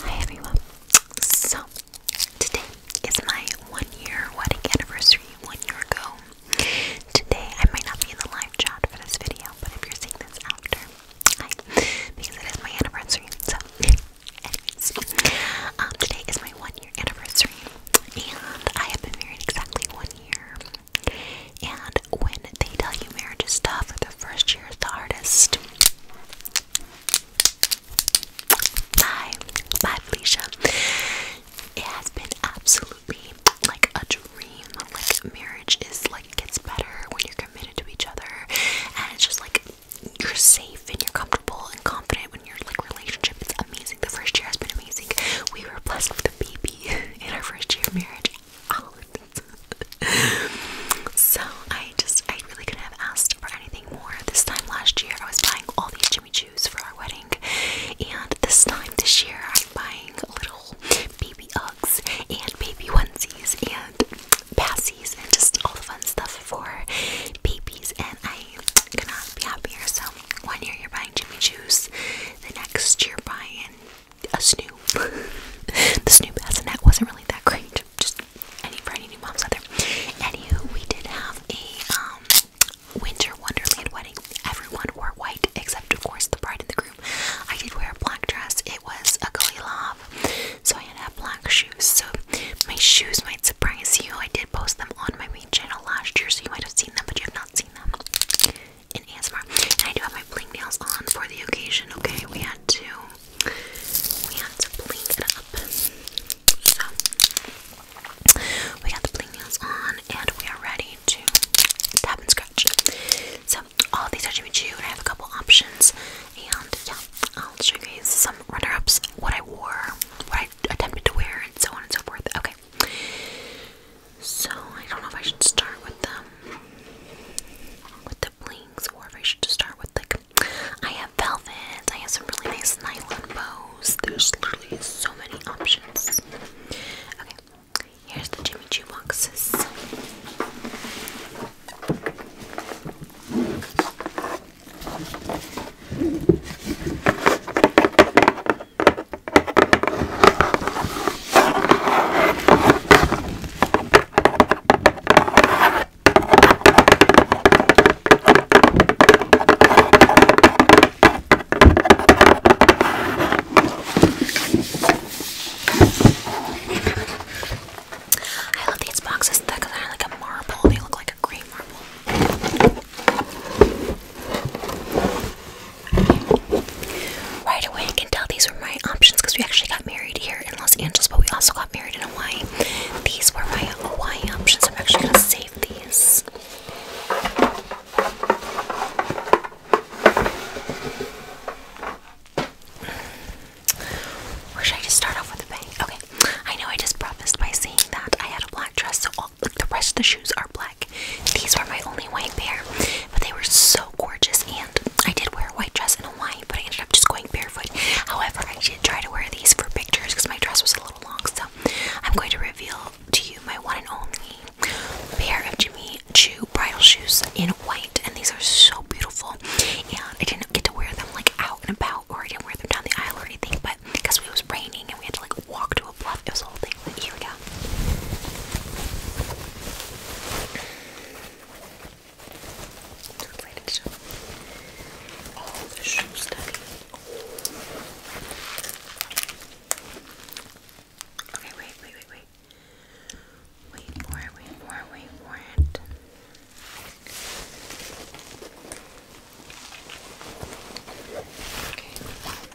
Hi everyone. So today is my one year wedding anniversary, one year ago. Today I might not be in the live chat for this video, but if you're seeing this after, because it is my anniversary. So um, today is my one year anniversary, and I have been married exactly one year. And when they tell you marriage is tough, the first year is the hardest. Bye. Bye, Felicia. It has been absolutely like a dream. Like, marriage is like, gets better when you're committed to each other. And it's just like, you're safe and you're comfortable and confident when your like relationship is amazing. The first year has been amazing. We were blessed with a baby in our first year of marriage. Oh, so I just, I really couldn't have asked for anything more. This time last year, I was buying all these Jimmy Choo's for our wedding, and this time this year, I'm buying little baby Uggs and baby onesies and passies and just all the fun stuff for babies. And I cannot be happier. So one year you're buying Jimmy Choo's, the next you're buying a Snoop. the Snoop as a net wasn't really that great. Just any for new moms out there. Anywho, we did have a um winter wonderland wedding. Everyone wore white except of course the bride and the groom. I did wear a black dress. It was a Kalilov, so I had to have black shoes. So my shoes might surprise you. I did post them on my main channel last year, so you might have seen them, but you have not seen them in ASMR. And I do have my bling nails on for the occasion. Okay, we had two we have to bling it up. So we got the bling nails on and we are ready to tap and scratch. So all these are Jimmy Choo and I have a couple options and yeah, I'll show you guys some runner-ups, what I wore, what I attempted to wear, and so on and so forth. Okay. So I don't know if I should start with them with the blings or if I should just start with like I have velvet. I have some really nice nylon bows. There's literally so many options. Okay, here's the Jimmy Choo boxes. I love these boxes because they're like a marble. They look like a green marble. Right away, I can tell these were my options because we actually got married here in Los Angeles, but we also got married in Hawaii. These were my Hawaii options. I'm actually gonna save these. Or should I just start off with the bang? Okay. I know I just prefaced by saying that I had a black dress, so like, the rest of the shoes are black. These were my only white pair, but they were so gorgeous I did wear a white dress in Hawaii, but I ended up just going barefoot. However, I did try to wear these for pictures because my dress was a little long, so I'm going to reveal to you my one and only pair of Jimmy Choo bridal shoes in white, and these are so beautiful. And I didn't get to wear them like out and about, or I didn't wear them down the aisle or anything, but because it was raining and we had to like walk to a bluff, it was a whole thing. here we go. Looks like it's just all the shoe study. Okay, wait, wait, wait, wait. Wait for it, wait for it, wait for it. Okay.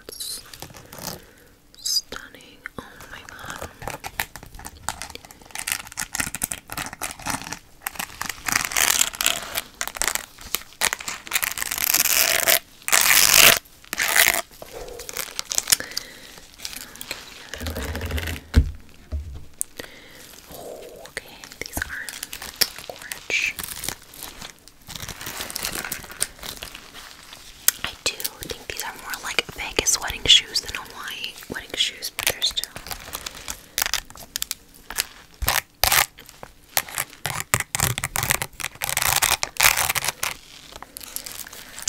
That's stunning. Oh my god. Okay, okay, these are orange. I do think these are more like Vegas wedding shoes than Hawaii wedding shoes, but they're still.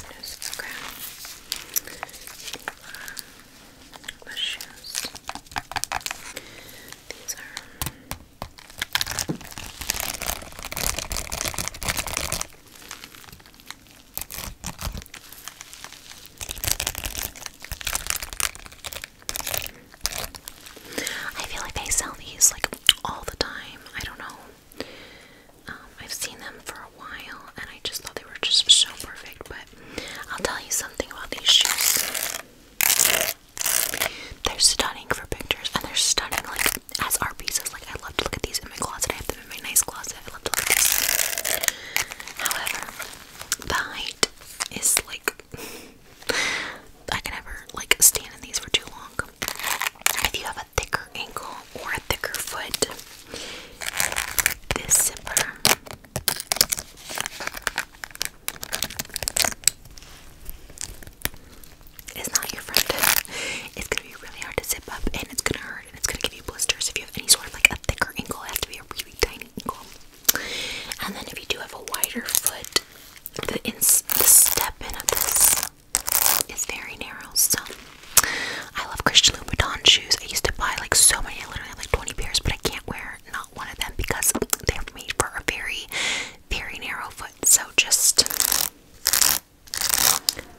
Just, okay. Um, the shoes. These are I feel like they sell these like all the time. I don't know. Um, I've seen them for a while and I just thought they were just so perfect, but I'll tell you something about these shoes. They're stunning for pictures, and they're stunning like as art pieces. Like I love to look at these in my closet. I have them in my nice closet. I love to look at these. However, the height is like I can never like stand in these for too long. If you have a thicker ankle or a thicker foot, this zipper it's not your friend. It's gonna be really hard to zip up and it's gonna hurt and it's gonna give you blisters if you have any sort of like a thicker ankle. It has to be a really tiny ankle. And then if you do have a wider foot, the, ins the step in of this is very narrow. So I love Christian Louboutin shoes. I used to buy like so many. I like 20 pairs, but I can't wear not one of them because they're made for a very, very narrow foot. So just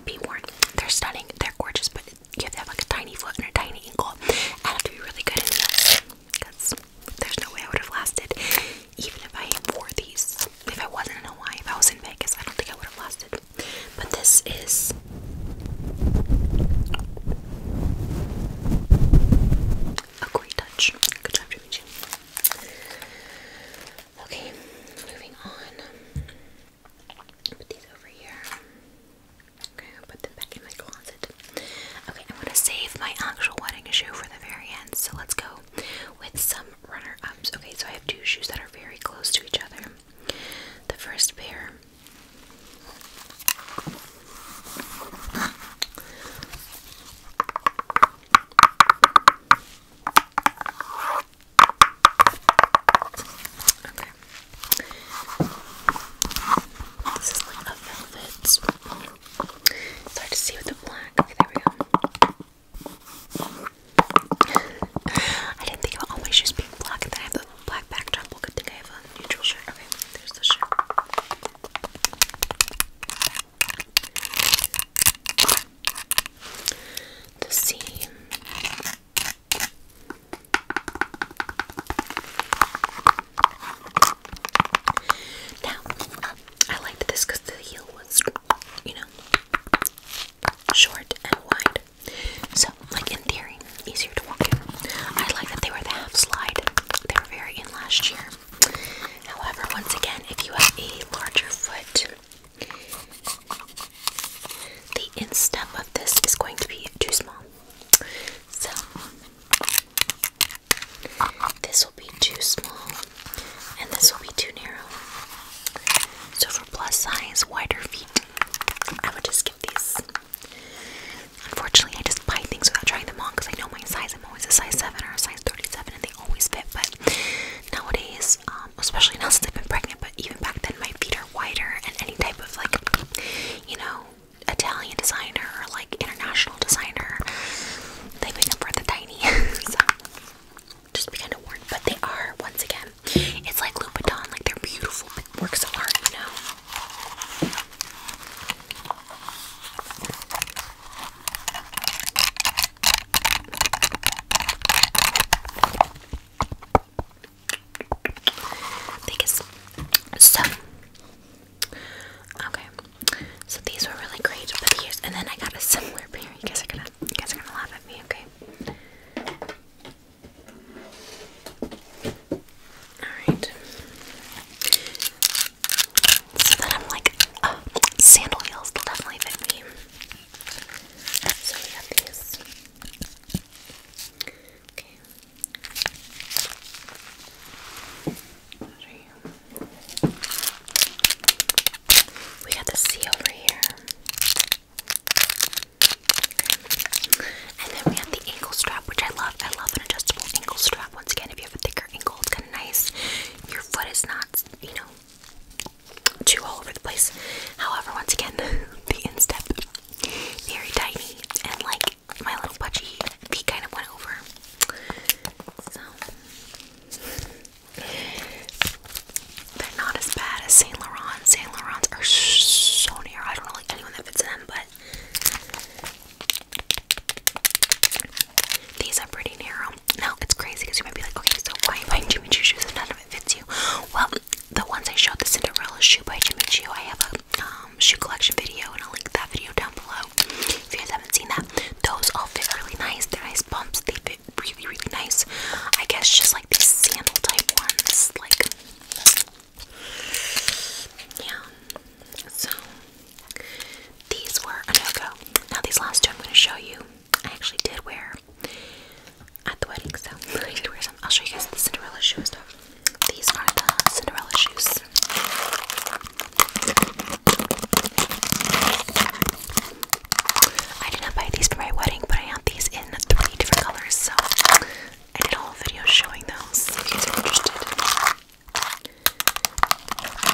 be warned. They're stunning, they're gorgeous, but you have like a tiny foot and a tiny ankle. and I have to be really good at this because there's no way I would have lasted even if I wore these. If I wasn't in Hawaii, if I was in Vegas, I don't think I would have lasted. But this is a great touch. Good job, Jimmy Okay, moving on. Put these over here. Okay, I'll put them back in my closet. Okay, I'm gonna save my actual wedding shoe for the very end. So let's go with some runner ups. Okay, so I have two shoes that are very close to each other. The first pair Okay. This is like velvet. It's hard to see with the black. Okay, there we go. I didn't think about all my shoes being black, black backdrop. Look, I think I have a neutral shirt. Okay, there's the shirt. The seam. Now, I liked this because the heel was, you know, short and wide. So, like in theory, easier to walk in. I like that they were the half slide. They were very in last year. However, once again, if you have a larger foot, the instep of this is going to be too small. So, this will be too small, and this will be too narrow. So, for plus size, wider feet, I would just skip these Unfortunately, I just buy things without trying them on because I know my size. I'm always a size 7 or a size 37 and they always fit. But nowadays, um, especially now since I've been pregnant, but even back then, my feet are wider and any type of like, you know, Italian designer or like international designer, they make them for the tiny. so just be kind of warned. But they are, once again, it's like Louboutin, like they're beautiful works of art, you Biggest so okay. So these were really great, and then I got a similar pair. You guys are gonna you guys are gonna laugh at me, okay? Alright. So then I'm like, oh, sandal heels will definitely fit me. So we got these. Okay. We got the C over here. And then we have the ankle strap, which I love. I love an adjustable ankle strap. Once again, if you have a thicker ankle, it's kind of nice. Your foot is not, you know, too all over the place. However, once again, the instep, very tiny, and like my little pudgy feet kind of went over. So, they're not as bad as Saint Laurent. Saint Laurent's are so near. I don't know anyone that fits in them, but these are pretty narrow. Now it's crazy because you might be like, okay, so why are you buying Jimmy Choo shoes if none of it fits you? Well, the ones I showed, the Cinderella shoe by Jimmy Choo, I have a um, shoe collection video, and I'll link that video down below if you guys haven't seen that. Those all fit really nice. They're nice pumps. They fit really, really nice. I guess just like these sandal type ones, like yeah. So these were a no-go. Now these last two I'm going to show you. I actually did wear at the wedding, so I did wear some. will show you guys the Cinderella shoes These are the Cinderella shoes. I did not buy these for my wedding, but I have these in three different colors, so I did a whole video showing those if you guys are interested.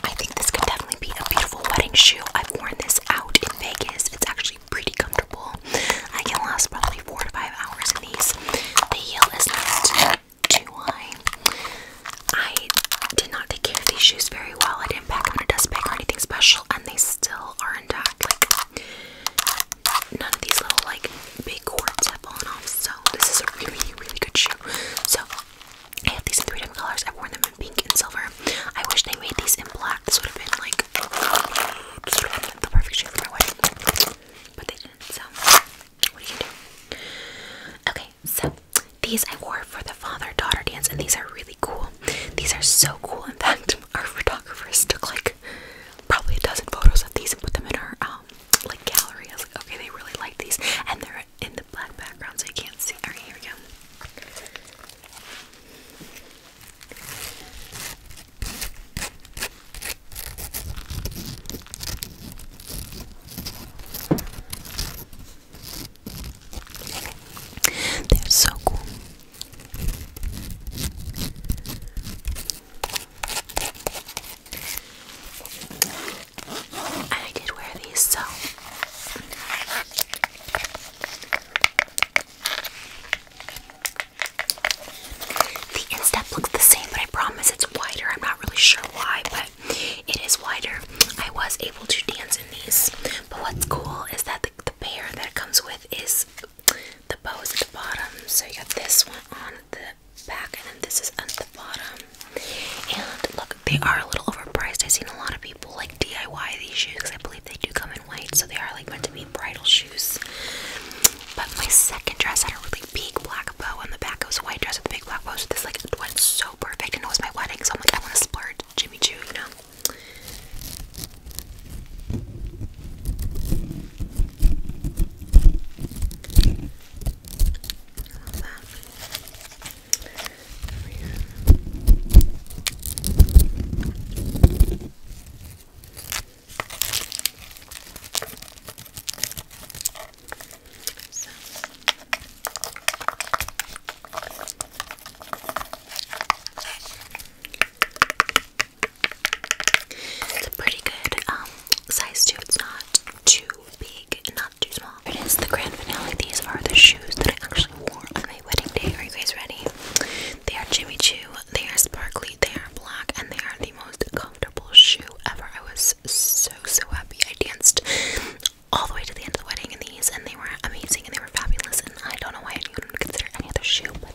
I think this could definitely be a beautiful wedding shoe. I've worn this out in Vegas. It's actually pretty comfortable. I can last probably four to five hours in these. The heel is not too high. I did not take care of these shoes very well. I didn't pack on a dust bag or anything special, and they still are intact. Like none of these little like big cords have fallen off. So this is a really, really good shoe. So I have these in three different colors. I've worn them in pink and silver. I wish they made these in black. This would have been like the perfect shoe for my wedding. But they didn't, so what do you do? Okay, so these I wore for the father-daughter dance, and these are really cool. These are so cool, in fact our photographers took like probably a dozen photos of these and put them in our um, like gallery. I was like, okay, they really like these, and they're in the black background, so you can't see. All right, here we go. They're so cool. I did wear these, so the instep looks the same, but I promise it's wider. I'm not really sure why, but it is wider. I was able to dance in these, but what's cool is that the, the pair that it comes with is the bow is at the bottom. So you got this one on the back, and then this is at the bottom. And look, they are a little overpriced. I've seen a lot of people like DIY these shoes because I believe they do come in white, so they are like meant to be bridal shoes. But my second dress had a really big black bow on the back. It was a white dress with a big black bow, so this like went so perfect, and it was my wedding, so I'm like, I want to splurge Jimmy Choo, you know love that. There we go. So. It's a pretty good um, size too. It's not too big, not too small. it is the grand finale. These are the shoes that I actually wore on my wedding day. Are you guys ready? They are Jimmy Choo. They are sparkly. They are black, and they are the most comfortable shoe ever. I was so so happy. I danced all the way to the end of the wedding in these, and they were amazing and they were fabulous. And I don't know why anyone would consider any other shoe, but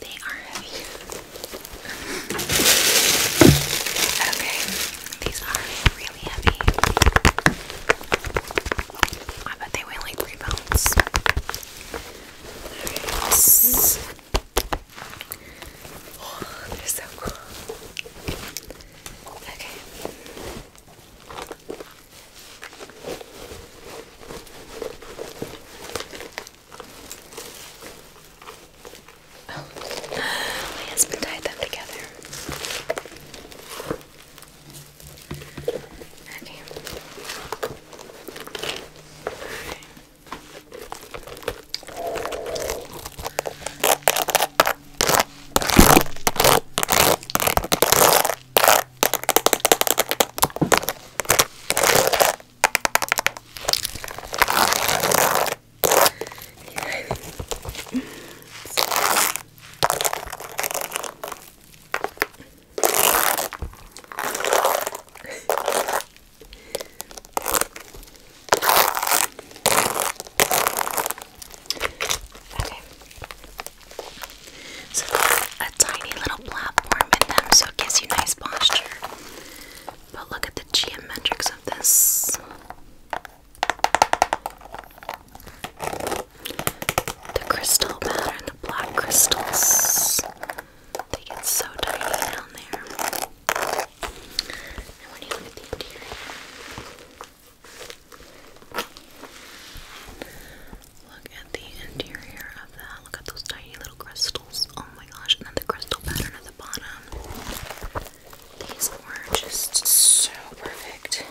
They are heavy. Okay, these are really heavy. I bet they weigh like three pounds. Yes. Oh, they're so cool. Okay. Oh, my husband tied them together. Okay. All right. Okay. So a tiny little platform in them so it gives you nice posture. But look at the geometrics of this. The crystal pattern, the black crystals. They get so tiny down there. And when you look at the interior, look at the interior Look at those tiny little crystals. Oh my gosh. And then the crystal pattern at the bottom. These were just so perfect.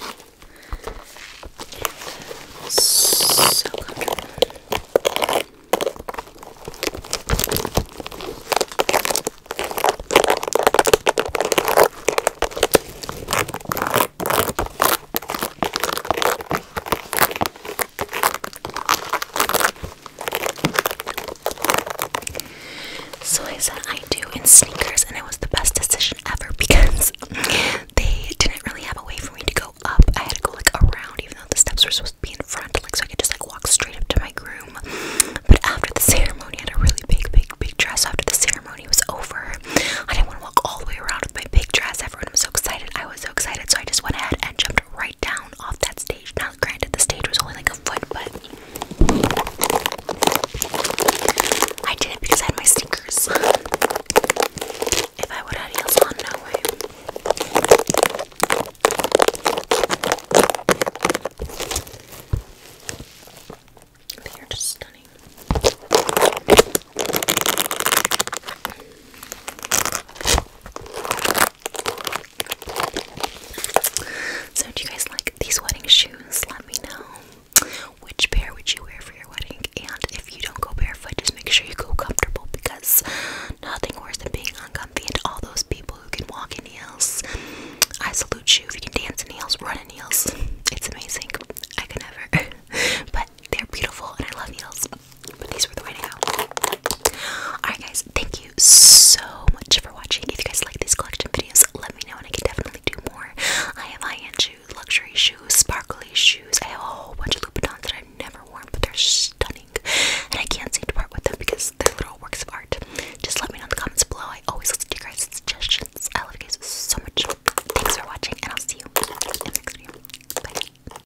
so comfortable. So I said I do in sneakers, and it was the best decision ever because they didn't really have a way for me to go up. I had to go like around, even though the steps were supposed to be in front, like so I could just like walk straight up to my groom. But after the ceremony, I had a really big, big, big dress. After the ceremony was over, I didn't want to walk all the way around with my big dress. Everyone was so excited. I was so excited, so I just went ahead and jumped right down off that stage. Now, granted, the stage was only like a foot, but I did it because I had my sneakers. If I would have heels on, no way. They are just stunning. So, do you guys like these wedding shoes? Let me know which pair would you wear for your wedding. And if you don't go barefoot, just make sure you go comfortable because nothing worse than being uncomfortable. And all those people who can walk in heels, I salute you. If you can dance in heels, run in heels, it's amazing. I can never. but they're beautiful and I love heels. But these were the way to go. Alright guys, thank you so much for watching. If you guys like these collection videos, let me know and I can definitely do more. I have high luxury shoes, sparkly shoes. I have a whole bunch of Louboutins that I've never worn, but they're stunning. And I can't seem to part with them because they're little works of art. Just let me know in the comments below. I always listen to you guys' suggestions. I love you guys so much. Thanks for watching and I'll see you in the next video. Bye.